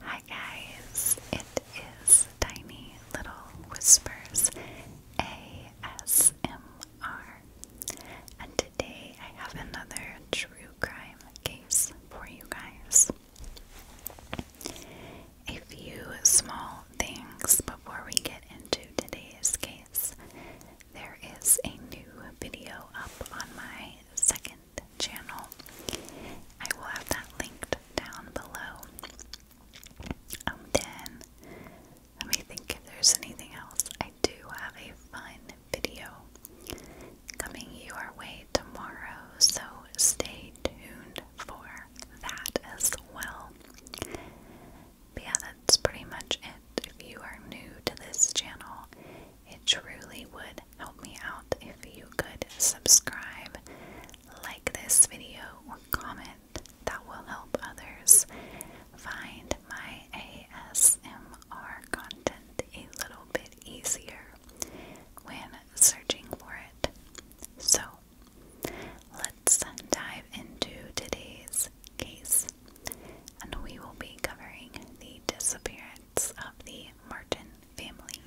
Hi guys, it is Tiny Little Whispers ASMR, and today I have another true crime case for you guys. A few small things before we get into today's case. There is a new video up on my second channel. I will have that linked down below. Um, then, let me think if there's anything else. I do have a fun video coming your way tomorrow, so stay tuned for that as well. yeah, that's pretty much it. If you are new to this channel it truly would help me out if you could subscribe, like this video, or comment. That will help others find my ASMR content a little bit easier when searching for it. So, let's dive into today's case, and we will be covering the disappearance of the Martin family.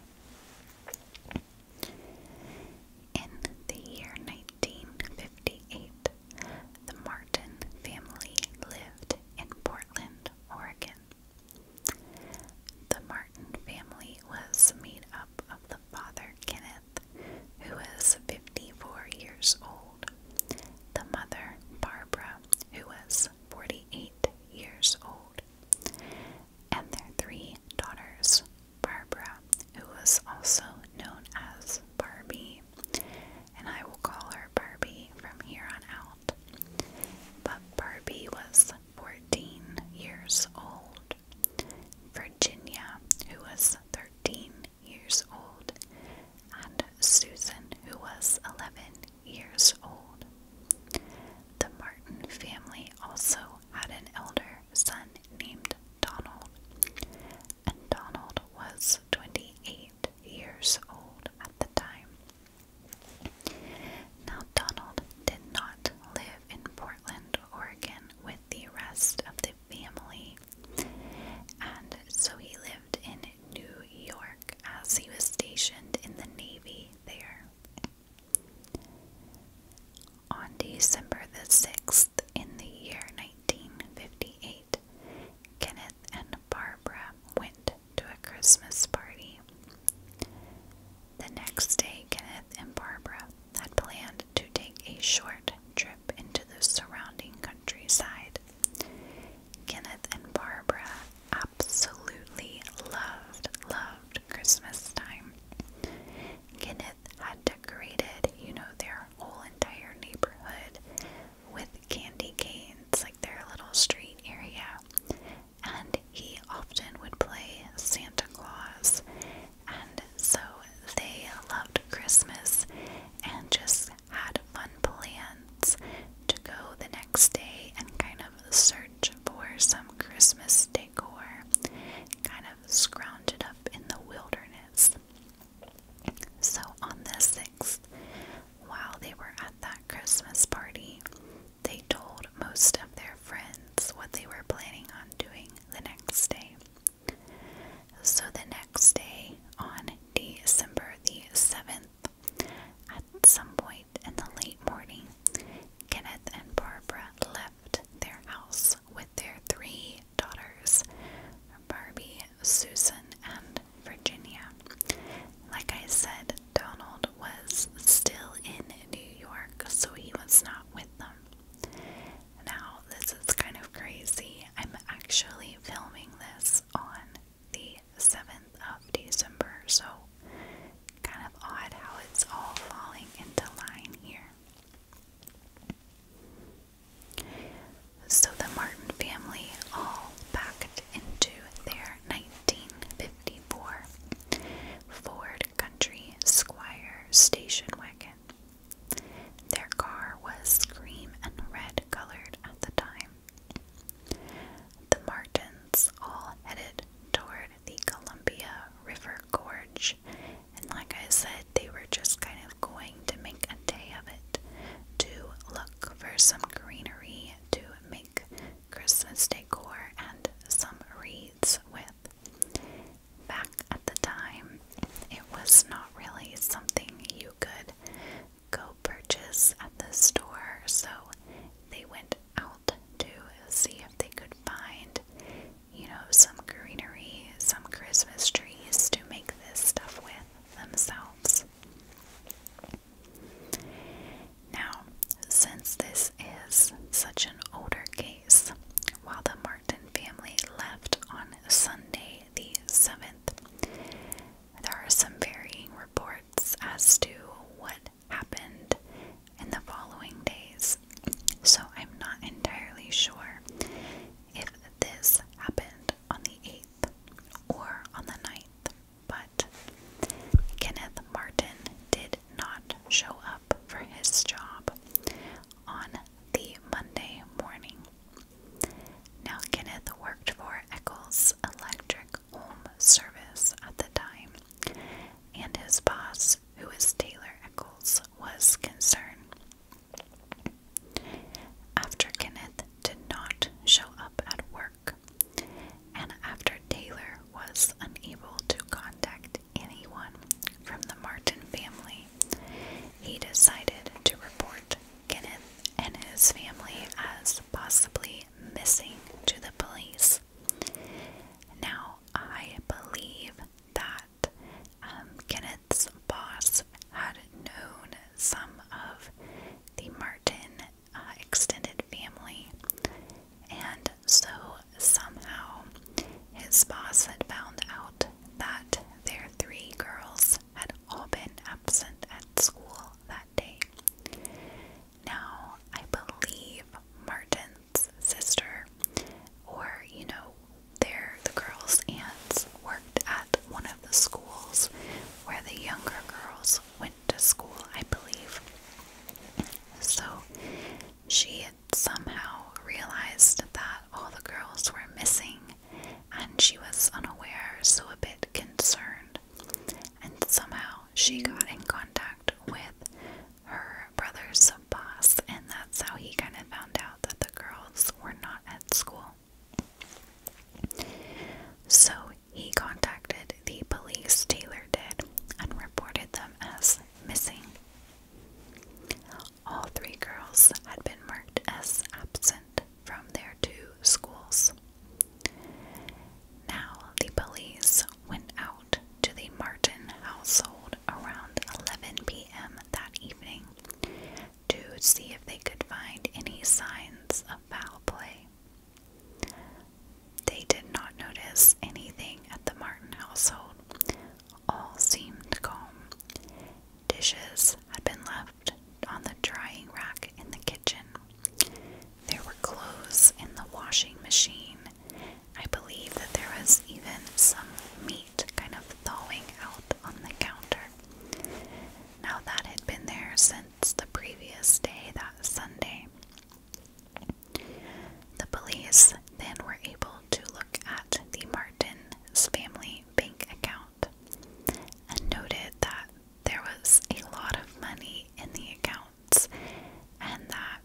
In the year 1958, the Martin family lived in Portland, Oregon. The Martin family was made up of the father, Kenneth, who was 54 years old, the mother, Barbara, who was 48 years old, and their three daughters, Barbara, who was also known as Barbie, and I will call her Barbie from here on out. But Barbie was 14 years old, Virginia, who was 13 years old, and Susan, who was 11 years old. The Martin family also had an elder son named Donald, and Donald was 28 years old at the time. Now, Donald did not live in Portland, Oregon with the rest of the family, and so he lived in New York as he was stationed in the Navy there. On December the 6th, in the year 1958, Kenneth and Barbara went to a Christmas party. The next day, Kenneth and Barbara had planned to take a short trip into the surrounding countryside. Kenneth and Barbara absolutely loved, loved Christmas time. Kenneth had decorated, you know, their whole entire neighborhood with candy canes, like their little street area. And he often would play Santa Claus. And so they loved Christmas and just had fun playing to go the next day and kind of search for some Christmas decor, kind of scrounge up in the wilderness. So on the 6th, while they were at that Christmas party, they told most of their friends what they were planning on doing the next day. So the next day, on December the 7th, at some point in the late morning, Kenneth and Barbara left their house with their three daughters, Barbie, Susan, and Virginia. Like I said, Donald was still in New York, so he was not with them. Now, this is kind of crazy. I'm actually filming this on the 7th of December, so kind of odd how it's all falling into line here. So the Martin family all packed into their 1954 Ford Country Squire station wagon. Their car was cream and red colored at the time. The Martins all headed toward the Columbia River Gorge, and like I said, they were just kind of going to make a day of it to look for some greenery to make Christmas decor and some wreaths with. Back at the time, it was not really something you could go purchase at the store, so they went out to see if they could find, you know, some greenery, some Christmas trees to make this stuff with themselves. Now, since this is such an older case, while the Martin family left on Sunday the 7th, there are some varying reports as to what happened in the following days, so I'm not entirely sure if this happened on the 8th or on the ninth. but Kenneth Martin did not show up for his job on the Monday morning. Now, Kenneth worked for Eccles Electric home service at the time, and his boss, who was Taylor Eccles, was concerned. After Kenneth did not show up at work, and after Taylor was unable to contact anyone from the Martin family, he decided to report Kenneth and his family as possibly missing to the police. Now, I believe that um, Kenneth's boss had known some of the Martin uh, extended family, and so somehow his boss had found out that their three girls had all been absent at school that now, I believe Martin's sister, or you know, their the girls' aunts worked at one of the schools where the younger girls went to school, I believe. So she had somehow realized that all the girls were missing and she was unaware, so a bit concerned, and somehow she got in contact with her brother's boss, and that's how he kind of found out that the girls were not at school. So he contacted the police, Taylor did, and reported them as missing. All three girls had been marked as absent from their two schools. Now the police went out to the Martin household around 11 p.m. that evening to see if they could find any signs of foul play. They did not notice anything at the Martin household. All seemed calm. Dishes had been left on the drying rack in the kitchen. There were clothes in the washing machine. I believe that there was even some meat kind of thawing out on the counter. Now, that had been there since the previous day, that Sunday. The police then were able to look at the Martin's family bank account account and noted that there was a lot of money in the accounts and that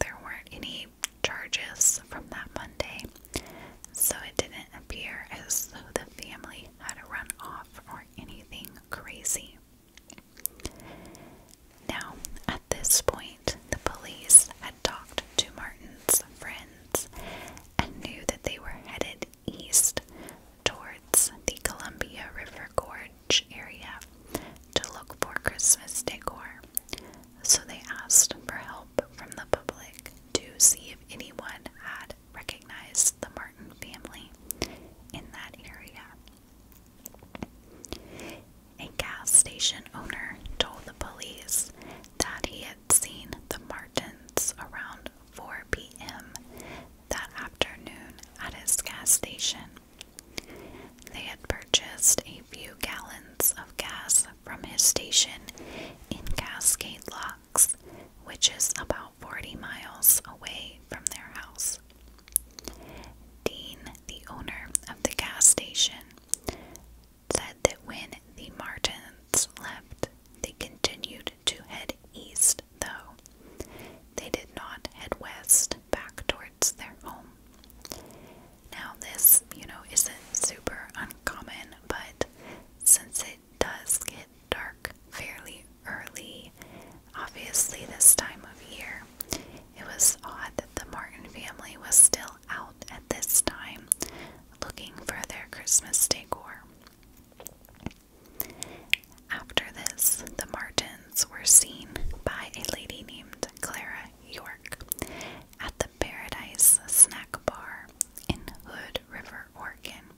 there weren't any charges from that Monday. So it didn't appear as though the family had a run off or anything crazy. Now, at this point, the police had talked to Martin's friends and knew that they were headed east towards the Columbia River Gorge area to look for Christmas decor. So they asked for help from the public to see if anyone had recognized the Martin family in that area. A gas station owner told the police that he had seen the Martins around 4 p.m that afternoon at his gas station. They had purchased a few gallons of gas from his station in Cascade Locks, which is about 40 miles away from their house. Dean, the owner of the gas station, said that when the Martins left, they continued to head east, though. They did not head west back towards their home. Now, this, you know, isn't super uncommon, but since it does get dark fairly early, obviously, this time of year, it was odd that the Martin family was still out at this time looking for their Christmas decor. After this, the Martins were seen by a lady named Clara York at the Paradise Snack Bar in Hood River, Oregon,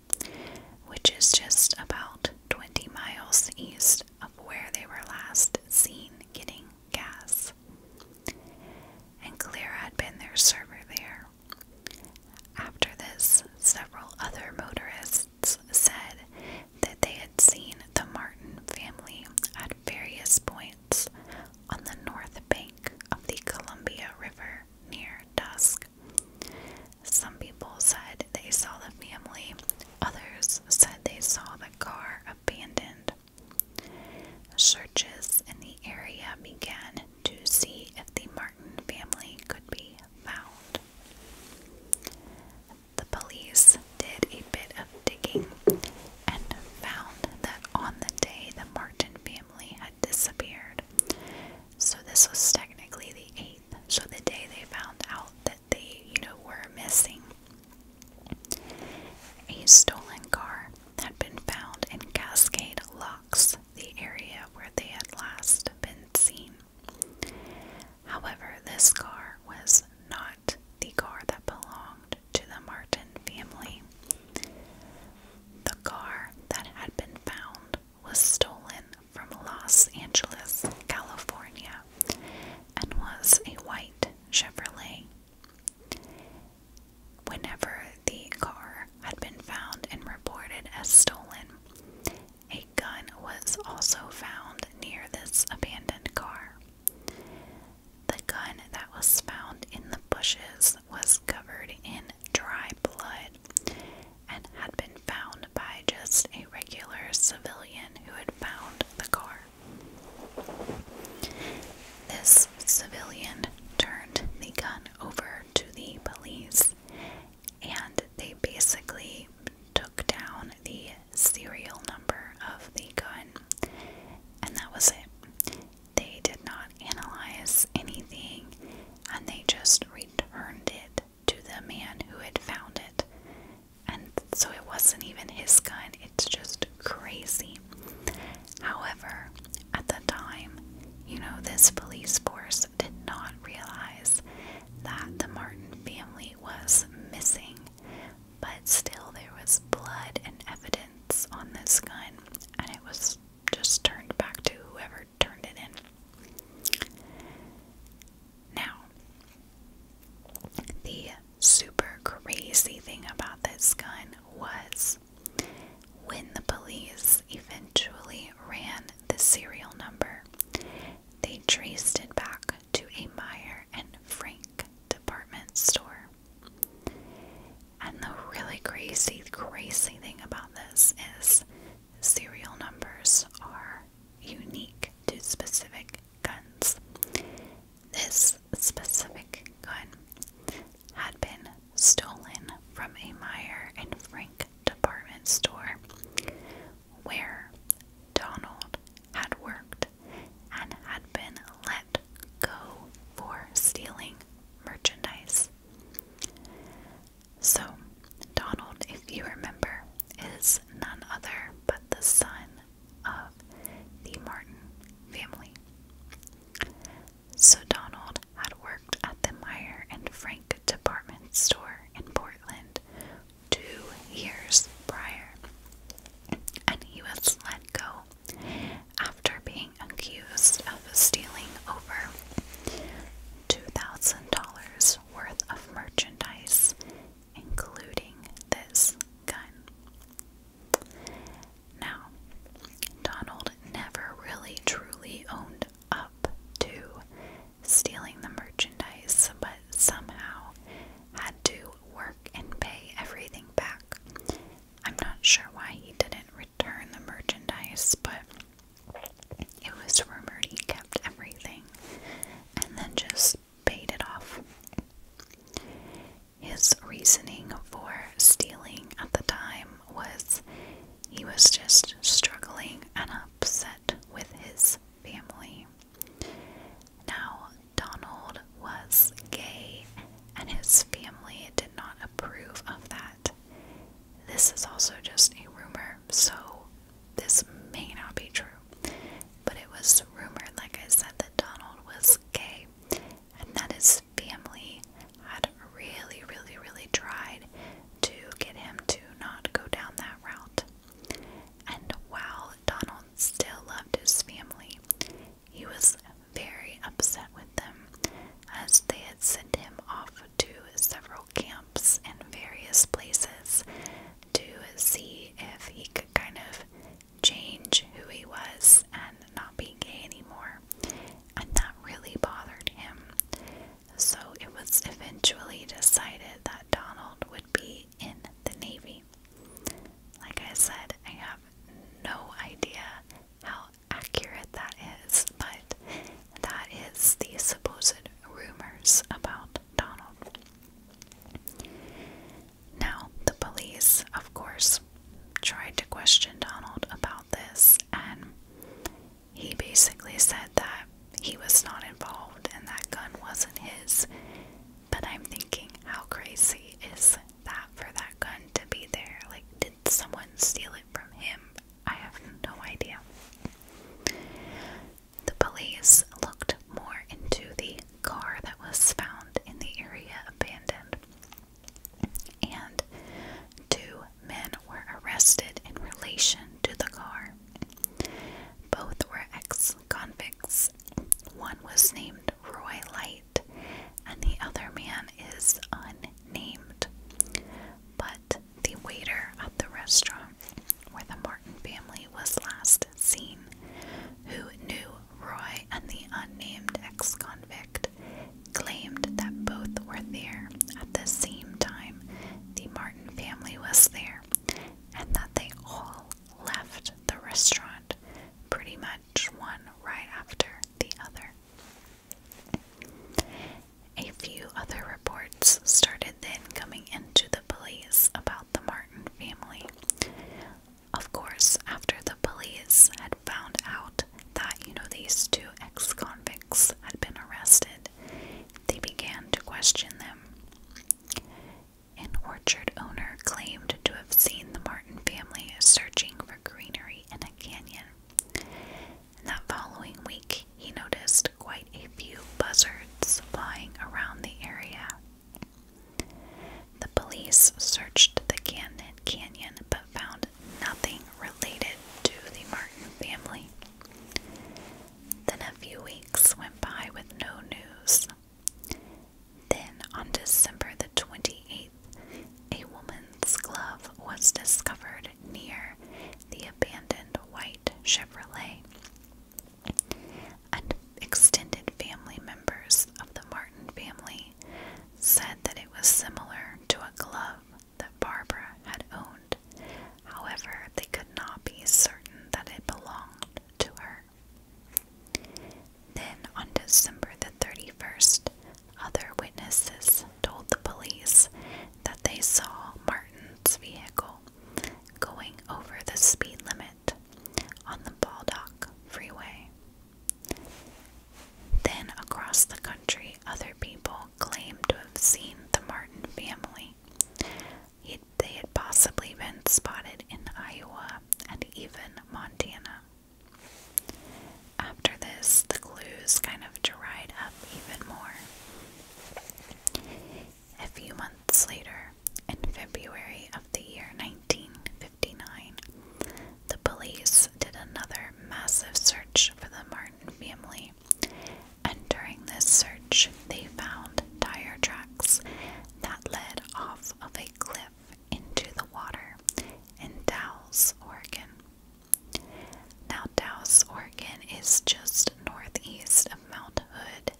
which is just about 20 miles east of where they were last seen getting gas. And Clara had been their server there after this, several other motorists said that they had seen the Martin family at various points on the north bank of the Columbia River near dusk. Some people said they saw the family, others said they saw the car abandoned. Searches in the area began to see if the Martin family could be found. The police did a bit of digging and found that on the day the Martin family had disappeared, so this was technically the 8th, so the day they found out that they, you know, were missing, a stolen car had been found in Cascade Locks, the area where they had last been seen. However, this car was not the car that belonged to the Martin family. The car that had been found was stolen from Los Angeles, California, and was a white Chevrolet. Whenever the car had been found and reported as stolen, a gun was also found near this abandoned car. The gun that was found in the bushes was covered in dry blood and had been found by just a regular civilian who had found the car. This civilian turned the gun over to the police and they basically took down the serial number of the gun, and that was it. They did not analyze anything, and they just returned it to the man who had found it. And so it wasn't even his gun, it's just crazy. However, at the time, you know, this police force did not realize that the Martin family was missing, but still there was blood and evidence on this gun, and it was just turned back to whoever turned it in. Now, the super crazy thing about this gun was when the police eventually ran the serial number, they traced it back to a Meyer and Frank department store. And the really crazy, crazy thing about this is serial numbers are unique to specific guns. This specific gun had been stolen from a Meyer and Frank department store where Donald had worked and had been let go for stealing merchandise. So, Donald, if you remember, is none other but the son of the Martin family. So, Donald had work worked at the Meyer and Frank department store in Portland two years prior, and he was let go after being accused of stealing over $2,000 worth of merchandise, including this gun. Now, Donald never really truly owned up to stealing the merchandise, but somehow had to work and pay everything back. I'm not sure why he didn't return the merchandise, but it was rumored he kept everything and then just paid it off. His reasoning for stealing at the time was he was just struggling and upset with his family. Now, Donald was gay, and his family did not approve of that. This is also just a rumor, so this may not be true. But it was rumored, like I said, that Donald was gay, and that his family had really, really, really tried to get him to not go down that route. And while Donald still loved his family, he was very upset with them as they had sent him off to several camps and various places to see if he could kind of change who he was and not be gay anymore. And that really bothered him so it was eventually decided that Donald would be in the Navy. Like I said, I have no idea how accurate that is, but that is the supposed rumors about Donald. Now, the police, of course, tried to question Donald about about this, and he basically said that he was not involved and that gun wasn't his. But I'm thinking, how crazy is that for that gun to be there? Like, did someone steal it from him? I have no idea. The police looked more into the car that was found in the area abandoned. And two men were arrested in relation to the car. Both were ex convicts. One was named Roy Light, and the other man is unnamed. But the waiter at the restaurant where the Martin family was last seen, who knew Roy and the unnamed ex convict, claimed that both were there at the same time the Martin family was there, and that they all left the restaurant pretty much one right after the other. A few other reports started then coming into the police about the Martin family. Of course, after the police had found out that, you know, these two ex convicts had been arrested, they began to question them. An orchard owner claimed to have seen the Martin family searching for greenery in a canyon. And that following week, he noticed quite a few buzzards flying around the area. The police searched the Canyon but found nothing related to the Martin family. Then a few weeks went by with no news. Then, on December the 28th, a woman's glove was discovered near the abandoned white Chevrolet. And extended family members of the Martin family said that it was similar to a glove that Barbara had owned. However, they could not be certain that it belonged to her. Then, on December the 31st, other witnesses told the police that they saw Martin's vehicle going over the speed limit on the Baldock Freeway. Then, across the country, other people claimed to have seen the Martin family. they had possibly been spotted in Iowa and even Montana. After this, the clues kind of dried up even more. A few months later, in February of the year 1959, the police did another massive search for the Martin family and during this search, they found tire tracks that led off of a cliff into the water in Dallas, Oregon. Now, Dallas, Oregon is just northeast of Mount Hood,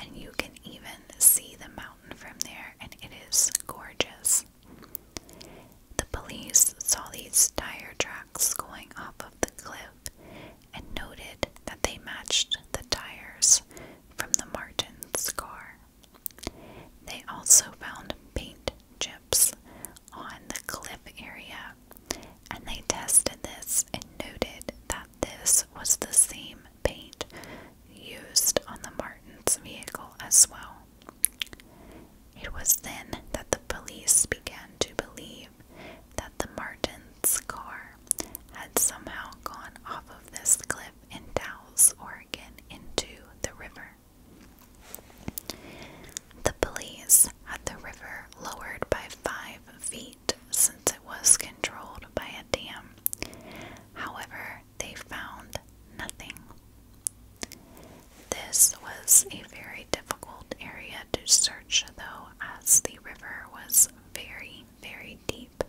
and you can even see the mountain from there, and it is gorgeous. The police saw these tire tracks going off of the cliff and noted that they matched the tires from the Martin's car. They also found paint chips on the cliff area and they tested this and noted that this was the same paint used on the Martin's vehicle as well. It was then that the police began to believe that the Martins' car had somehow gone off of this cliff in Dalles, Oregon, into the river. The police had the river lowered by five feet since it was controlled by a dam. However, they found nothing. This was a very difficult area to search, though, as the river was very, very deep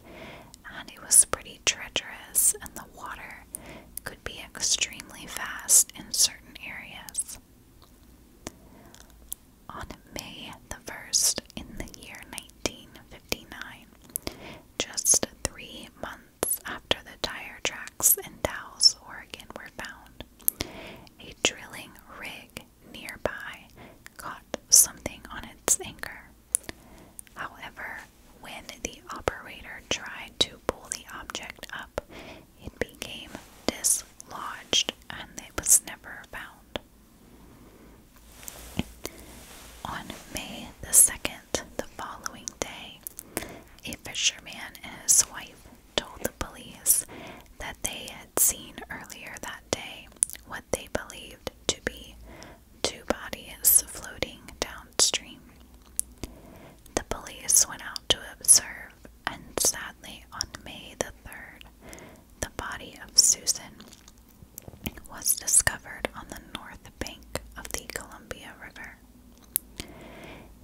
and it was pretty treacherous, and the water could be extremely fast in certain areas. On May the 1st, in the year 1959, just three months after the tire tracks in Dallas, Oregon were found, a drilling rig nearby caught something on its anchor. However, when the operator tried to pull the object up, it became dislodged and it was never found. On May the 2nd, the following day, a fisherman and his wife told the police that they had seen earlier that day what they believed to be two bodies floating downstream. The police went out to observe, and sadly, on May the 3rd, the body of Susan was discovered on the north bank of the Columbia River.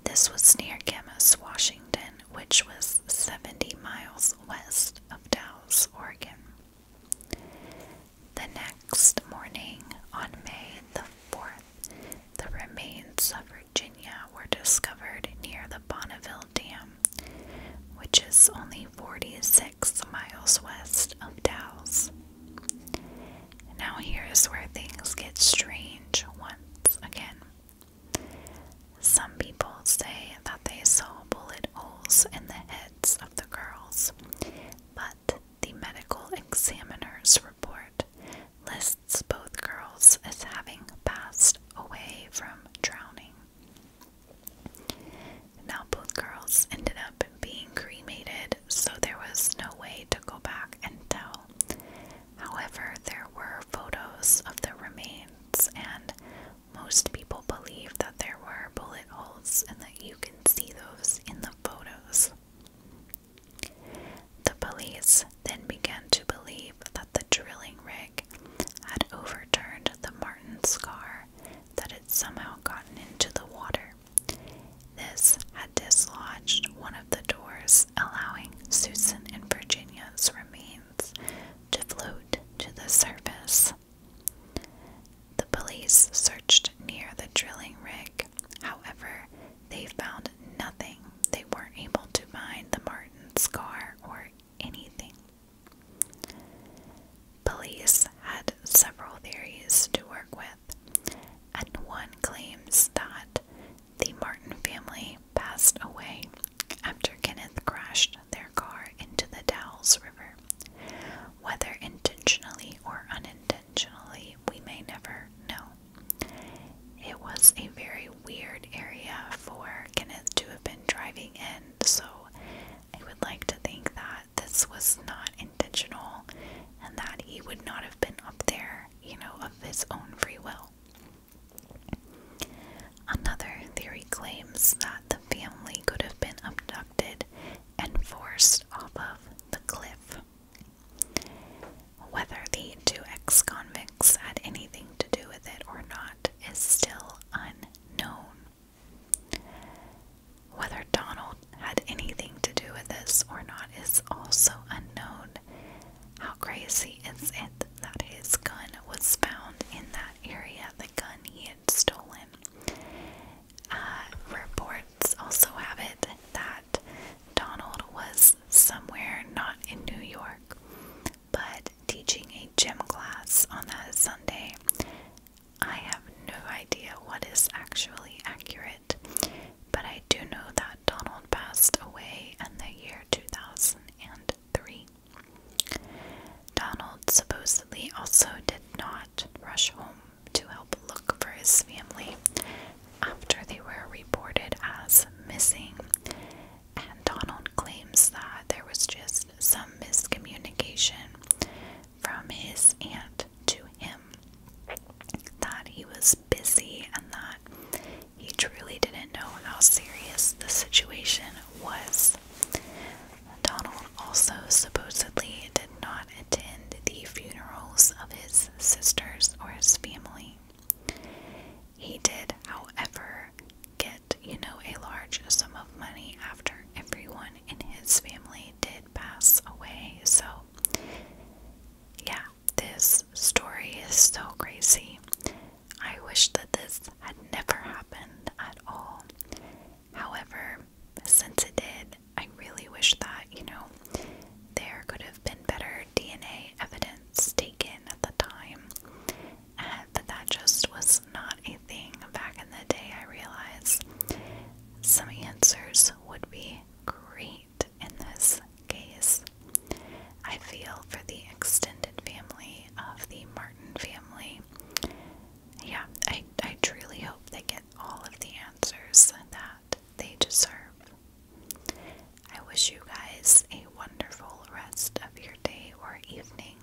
This was near Camas, Washington, which was 70 miles west of Dallas, Oregon. The next morning, on May the 4th, the remains of Virginia were discovered near the Bonneville Dam, which is only 46 miles west of Dallas. Now, here is where things get strange once again. Some people say that they saw bullet holes in the heads of the girls, but the medical examiner's report lists both girls as having passed away from drowning. Now, both girls ended up being cremated, so there was no way to go back and tell However, there were photos of the remains, and most people believed that there were bullet holes and that you can see those in the photos. The police then began to believe that the drilling rig had overturned the Martin Scar, that had somehow gotten into the water. This had dislodged one of the doors allowing Susan and Virginia's remains to float to the surface. The police searched near the drilling rig. However, they found nothing. They weren't able to find the Martin's car or anything. Police had several theories to work with, and one claims that the Martin family passed away after Kenneth crashed their car into the Dowles River. Whether intentionally or unintentionally, we may never know. It was a very weird area for Kenneth to have been driving in, so I would like to think that this was not intentional and that he would not have been up there you know, of his own free will. Another theory claims that the family could have been abducted and forced off of the cliff. Whether the two ex convicts had anything to do with it or not is still unknown. Whether Donald had anything to do with this or not is also unknown, how crazy is it that his gun was found in that area, the gun he had stolen? Uh, reports also have it that Donald was somewhere not in New York, but teaching a gym class on that Sunday. I have no idea what is actually accurate but I do know that Donald passed away in the year 2003. Donald supposedly also did not rush home to help look for his family after they were reported as missing, and Donald claims that there was just some miscommunication from his aunt to him him that he was busy and that he truly didn't know how serious the situation was. Donald also supposedly did not attend the funerals of his sisters or his family. He did, however, get, you know, a large sum of money after everyone in his family did pass away. So yeah, this story is so crazy. I wish that this had never happened at all. However, since it did, I really wish that, you know, there could have been better DNA evidence taken at the time. Uh, but that just was not a thing back in the day, I realize. Some answers would be great in this case. I feel for the extended family of the Martin family. Yeah, I, I truly hope they get all of the answers that they deserve. I wish you guys a wonderful rest of your day or evening,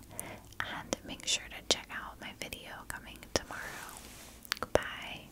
and make sure to check out my video coming tomorrow. Goodbye.